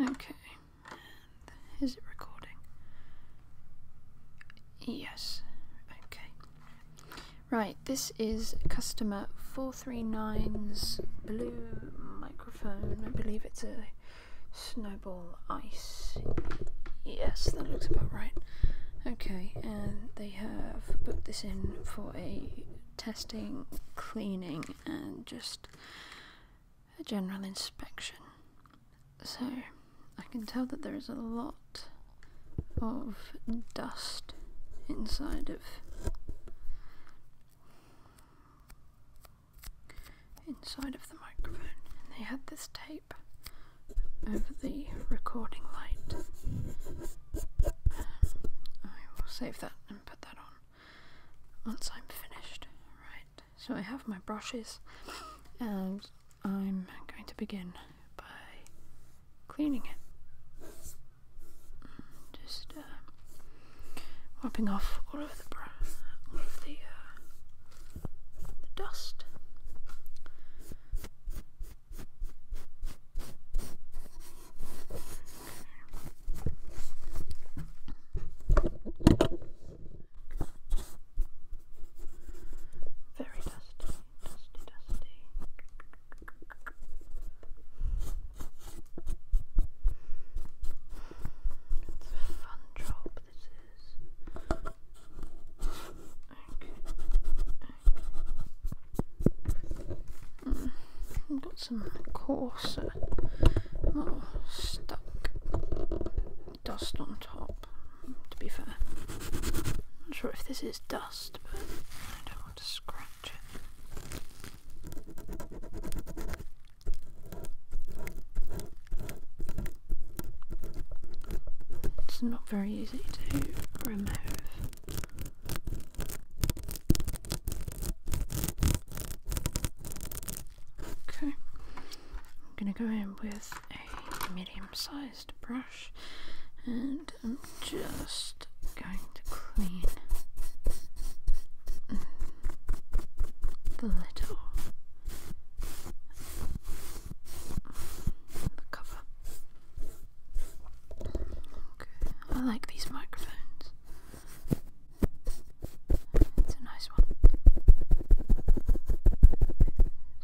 Okay. is it recording? Yes. Okay. Right, this is customer 439's blue microphone. I believe it's a snowball ice. Yes, that looks about right. Okay, and they have booked this in for a testing, cleaning, and just a general inspection. So I can tell that there is a lot of dust inside of inside of the microphone. And they had this tape over the recording light. Um, I will save that and put that on once I'm finished. Right, so I have my brushes and I'm going to begin by cleaning it. Just wiping uh, off all of the uh, dust. Very dusty, dusty, dusty. It's a fun job, this is. Okay. I've got some coarser, stuck dust on top, to be fair. not sure if this is dust, but I don't want to scratch it. It's not very easy to remove. Okay, I'm gonna go in with a medium sized brush and I'm just going to clean the little the cover. Okay, I like these microphones. It's a nice one.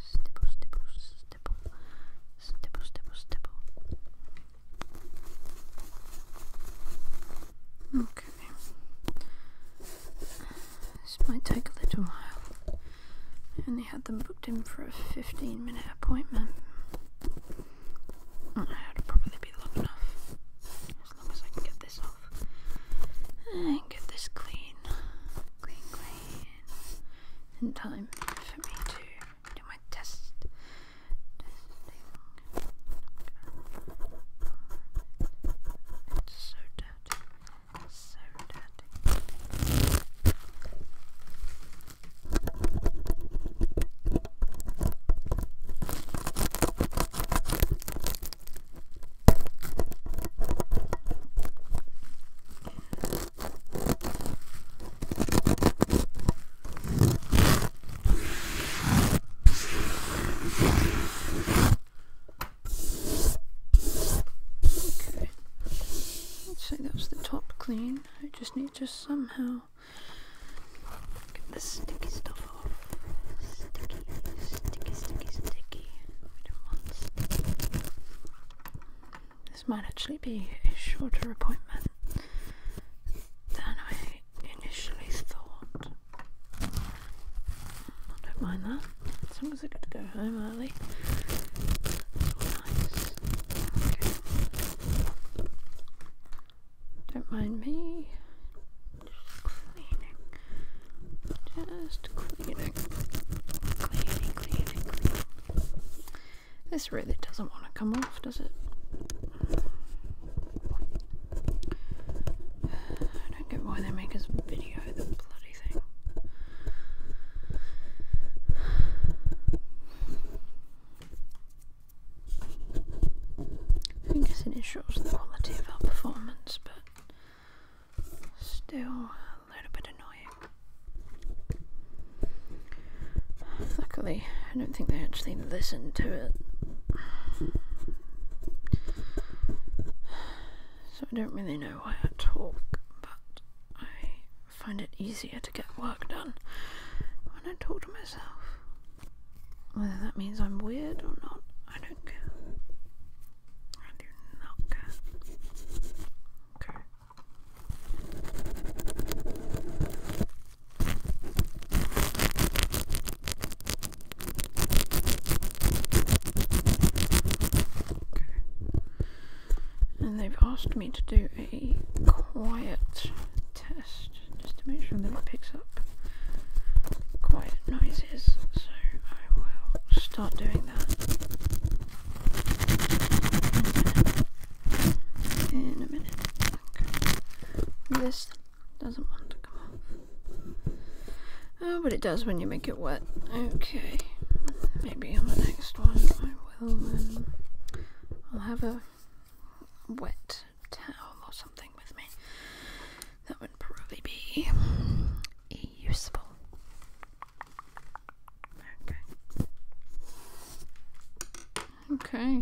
Stipple, stipple, stipple, stipple, stipple, Okay. This might take a little while. And they had them booked in for a 15 minute appointment. That'd probably be long enough. As long as I can get this off. And get this clean. Clean, clean. In time for me to do my test. so dirty. so dirty. Okay, I'd say that's the top clean. I just need to somehow Get the sticky stuff off. Sticky, sticky, sticky, sticky. sticky. This might actually be a shorter appointment than I initially thought. I don't mind that. As long as I get to go home early. nice. Don't mind me. Just cleaning. Just cleaning. Cleaning, cleaning, cleaning. This really doesn't want to come off, does it? I don't get why they make us video the bloody thing. I guess it ensures the quality of our performance, but still a little bit annoying. Luckily, I don't think they actually listened to it. So I don't really know why I talk, but I find it easier to get work done when I talk to myself. Whether that means I'm weird or not, I don't care. I do not care. Okay. Okay and they've asked me to do a quiet test just to make sure that it picks up quiet noises so I will start doing that in a minute this doesn't want to come off oh but it does when you make it wet okay maybe on the next one I'll have a wet towel or something with me. That would probably be useful. Okay. Okay.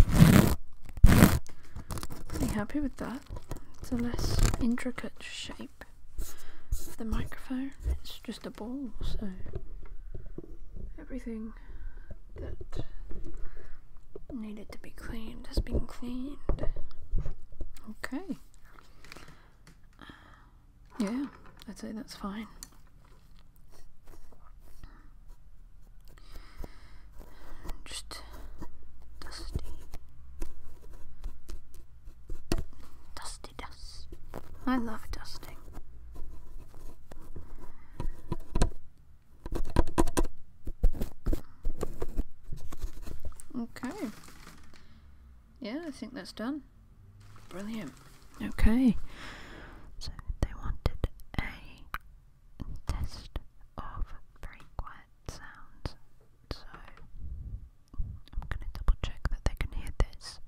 Pretty happy with that. It's a less intricate shape. The microphone. It's just a so everything that needed to be cleaned has been cleaned. Okay. Yeah, I'd say that's fine. Just dusty. Dusty dust. I love dusting. Okay. Yeah, I think that's done. Brilliant. Okay. So they wanted a test of very quiet sounds. So I'm going to double check that they can hear this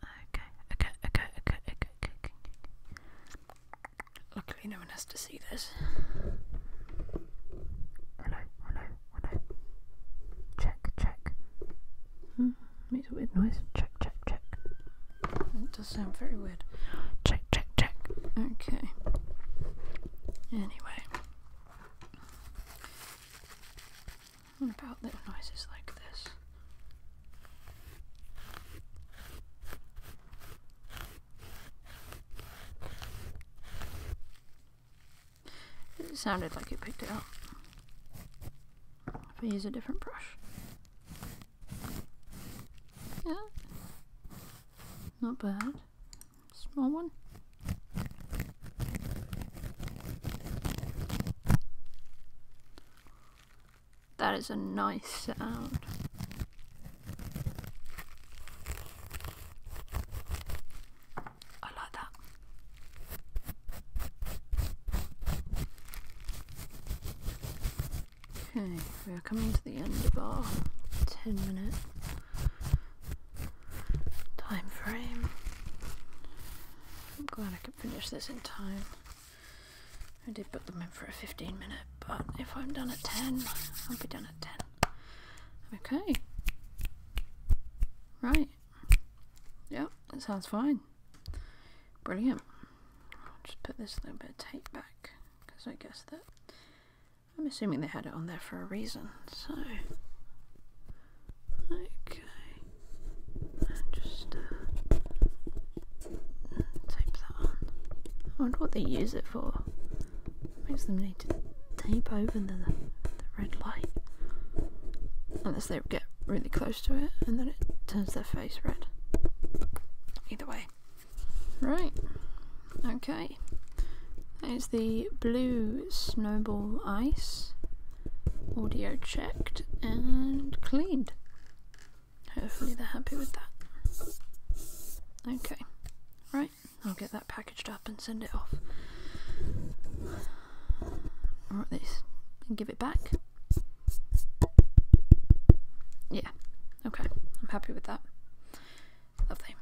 Okay, okay, okay, okay, okay, okay, Luckily, no one has to see this. Hello, hello, hello. Check, check. Hmm, makes a weird noise. Check, check, check. It does sound very weird. Check, check, check. Okay. Anyway. What about little noises like this? It sounded like it picked it If I use a different brush. Yeah. Not bad small one. That is a nice sound. I like that. Okay, we are coming to the end of our 10 minutes time frame. I'm glad I could finish this in time. I did put them in for a 15 minute, but if I'm done at 10, I'll be done at 10. Okay. Right. Yeah, that sounds fine. Brilliant. just put this little bit of tape back because I guess that I'm assuming they had it on there for a reason, so. Okay. just uh, tape that on. I wonder what they use it for. Makes them need to tape over the red light. Unless they get really close to it and then it turns their face red. Either way. Right. Okay. Okay, that is the blue snowball ice. Audio checked and cleaned. Hopefully, they're happy with that. Okay, right, I'll get that packaged up and send it off. Or this. And give it back. Yeah, okay, I'm happy with that. Lovely.